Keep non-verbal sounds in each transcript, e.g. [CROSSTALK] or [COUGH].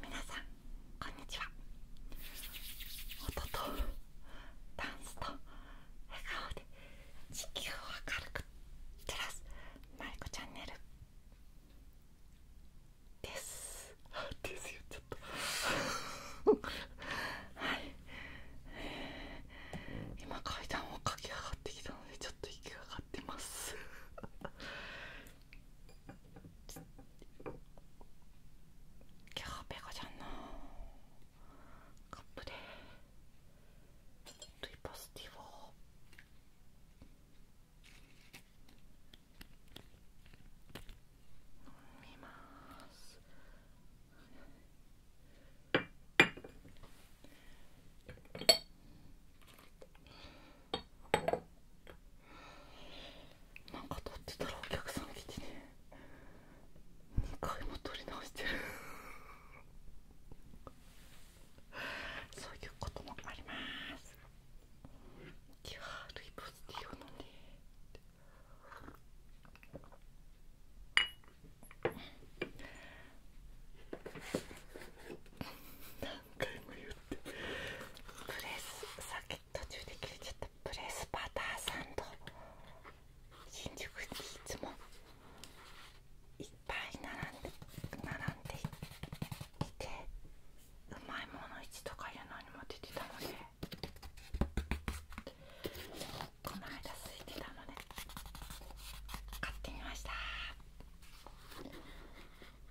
皆さんこんにちは音とダンスと笑顔で地球を明るく照らすマリコチャンネルです [LAUGHS] ですよちょっと [LAUGHS] はいえ今階段を駆け上がってきたのでちょっと息が上がってますキャーペガちゃんのカップでトゥイパスティを飲みますなんか撮ってたらお客さん来てね2回も撮り直してるそういうこともありますキュアルイボスティーを飲んでなんプレスさっき途中で切れちゃったプレスバターサンド新宿にいつもいっぱい並んで並んでいてうまいもの市とかいうのにも出てたのでこの間空いてたので買ってみました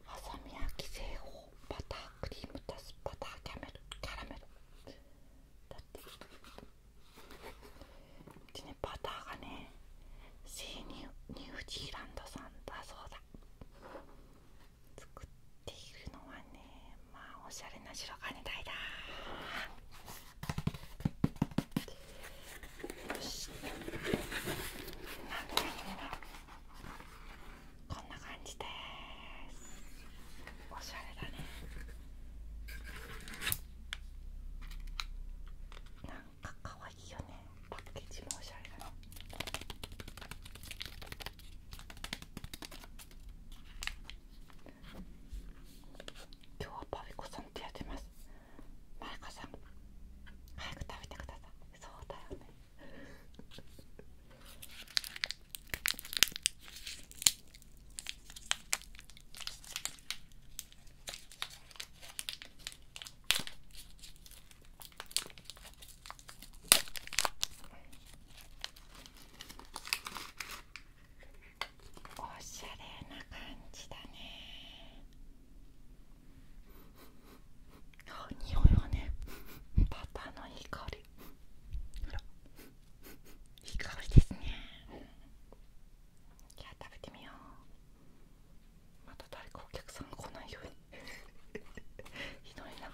はさみ焼き製法バタークリーム足すバターキャラメルだってうちねバターがねシーニュニージーランドさんだそうだ作っているのはねまあおしゃれな白金台だよし何だ何だこんな感じですおしゃれだねなんか可愛いよねパッケージもおしゃれだね。今日はパフコさんってやってますマイカさん早く食べてくださいそうだよねおしゃれな感じだねあ匂いはねパパのいりほらいりですねじゃあ食べてみようまた誰かお客さんが来ないようにひどいながら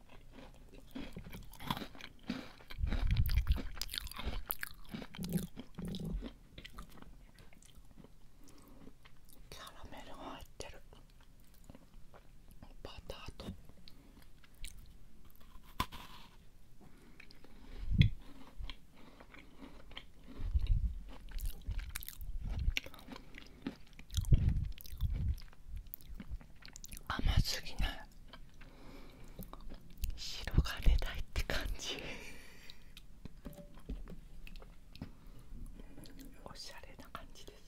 キャラメルが入ってるバターと甘すぎない白たいって感じ [LAUGHS] おしゃれな感じです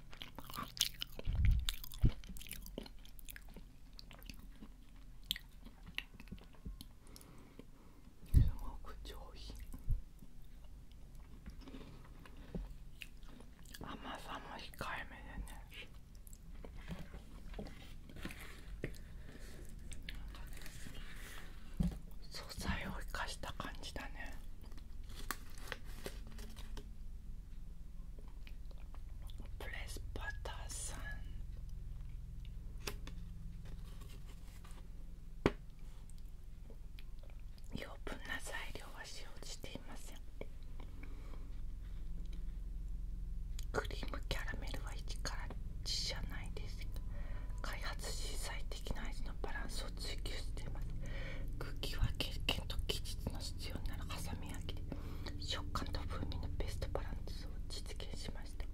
すごく上品甘さも控えめでね素材を生かした感じだねプレスパターさん余分な材料は使用していませんクリームキャラメルは一からじゃないです開発し最適な味のバランスを。スを追求してます茎は経験と技術の必要ならハサミ焼きで食感と風味のベストバランスを実現しました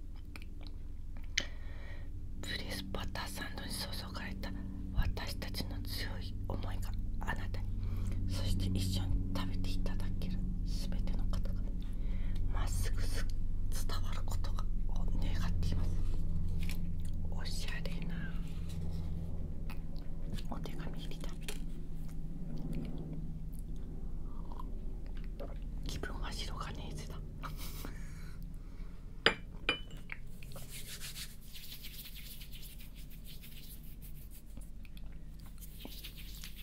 プレスバターサンドに注がれた私たちの強い思いがあなたにそして一緒に食べていただける全ての方がまっすぐ伝わることを願っていますおしゃれなお手紙入れた気分は白金いつだ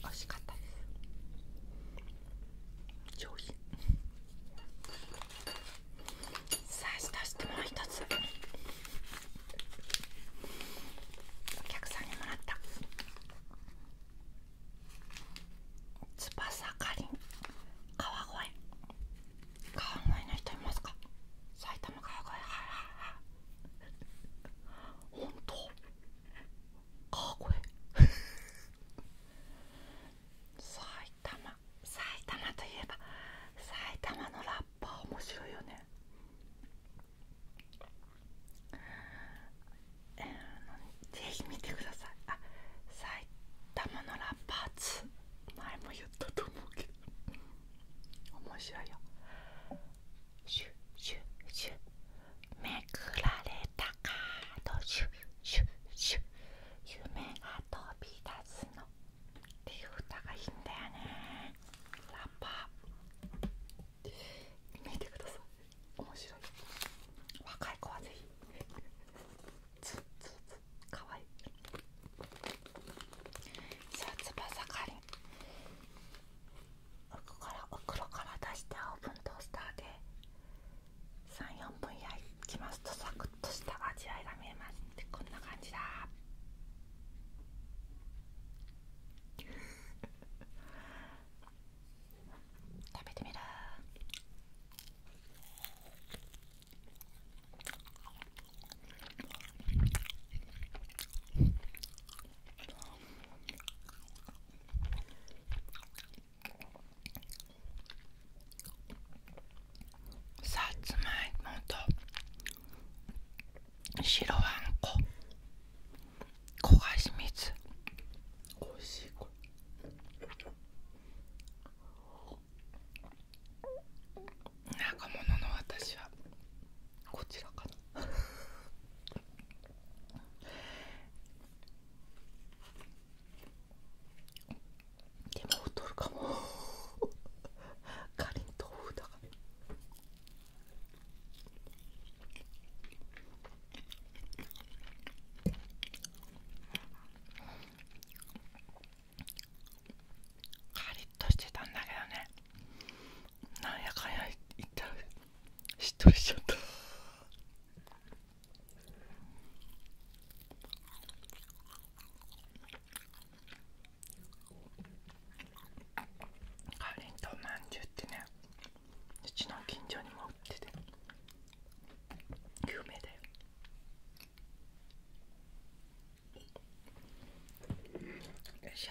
惜しかったです上品さあそしてもう一つお客さんにもらったつばさかりん川越川越の人いますか埼玉川越本当。川越埼玉埼玉といえば埼玉のラッパー面白いよねぜひ見てくださいあ埼玉のラッパーズ前も言ったと思うけど面白いよシュシュシュめくられたカードシュシュシュ夢が飛び出すののっていう歌がいいんだよねラッパー見てください面白い若い子はぜひツッツッツッかわいいさあ翼かりん奥から袋から出してオーブントースターで34分焼きますとさく。ッとした味合いが見えますってこんな感じだ [LAUGHS] 食べてみるさつまいもと白あんこ焦がし水おいしいこれ中物の私はこちらかな [LAUGHS] でも太るかもかりん豆腐だからカリッとしてたんだけどねなんやかんやいったらしっとりしちゃったカレンとまんじゅうってねうちの近所にも売ってて有名だよよいしょ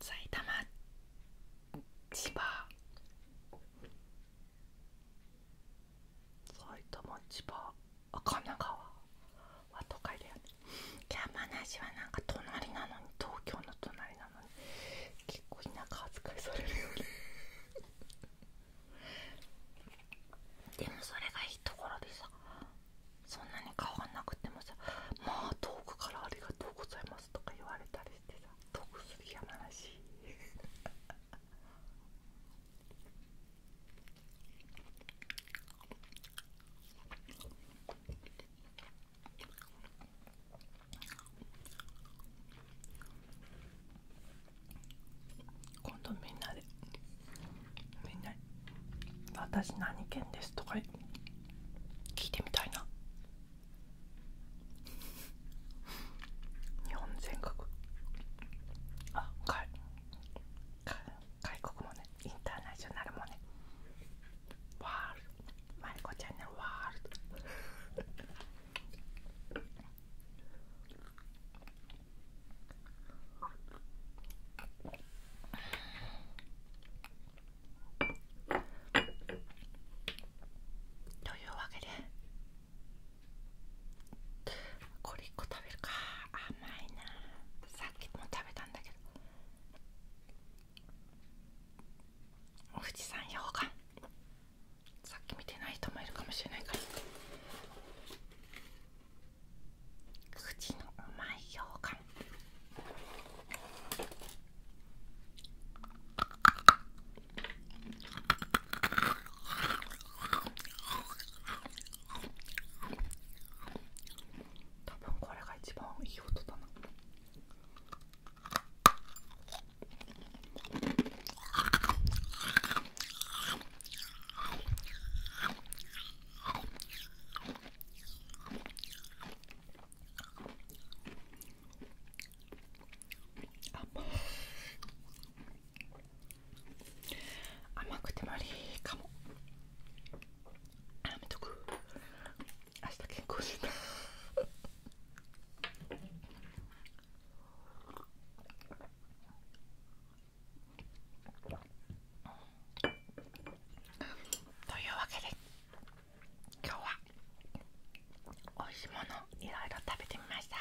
埼玉千葉埼玉千葉あ神奈川は都会だよね山梨はなんか隣なのに東京の隣なのに結構田舎扱いされるよね [LAUGHS] でもそれがいいところでしさそんなに変わんなくてもさ「まあ遠くからありがとうございます」とか言われたりしてさ遠くすりやまらしい今度みんなでみんな「私何県です」とか聞いてみたいな日本全国あ外外国もねインターナショナルもねワールドマリコちゃんのワールドというわけでこれ1個食べるか甘いなさっきも食べたんだけどお富士山溶岩さっき見てない人もいるかもしれないから口のうまいようかん多分これが一番いい音だな。甘くて無理かもやめとく明日健康診断あ [LAUGHS] というわけで今日はおいしいものいろいろ食べてみました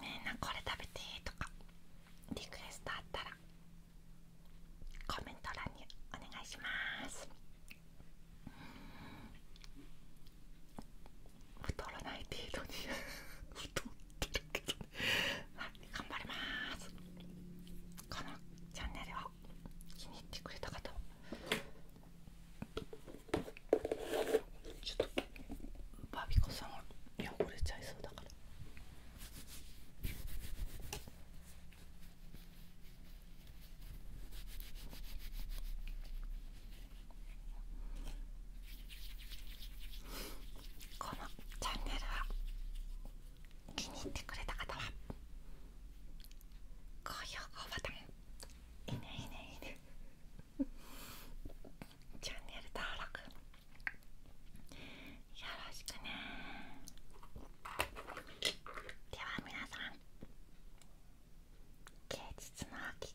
みんなこれ食べてとかリクエストあったらコメント欄にお願いします太らない程度に太ってけどねはい頑張りますこのチャンネルを気に入ってくれた方は？ちょっとバビコさんは汚れちゃいそうだから。このチャンネルは気に入ってくれた方は高評価ボタンいいねいいねいいねチャンネル登録よろしくねでは皆さん芸術の秋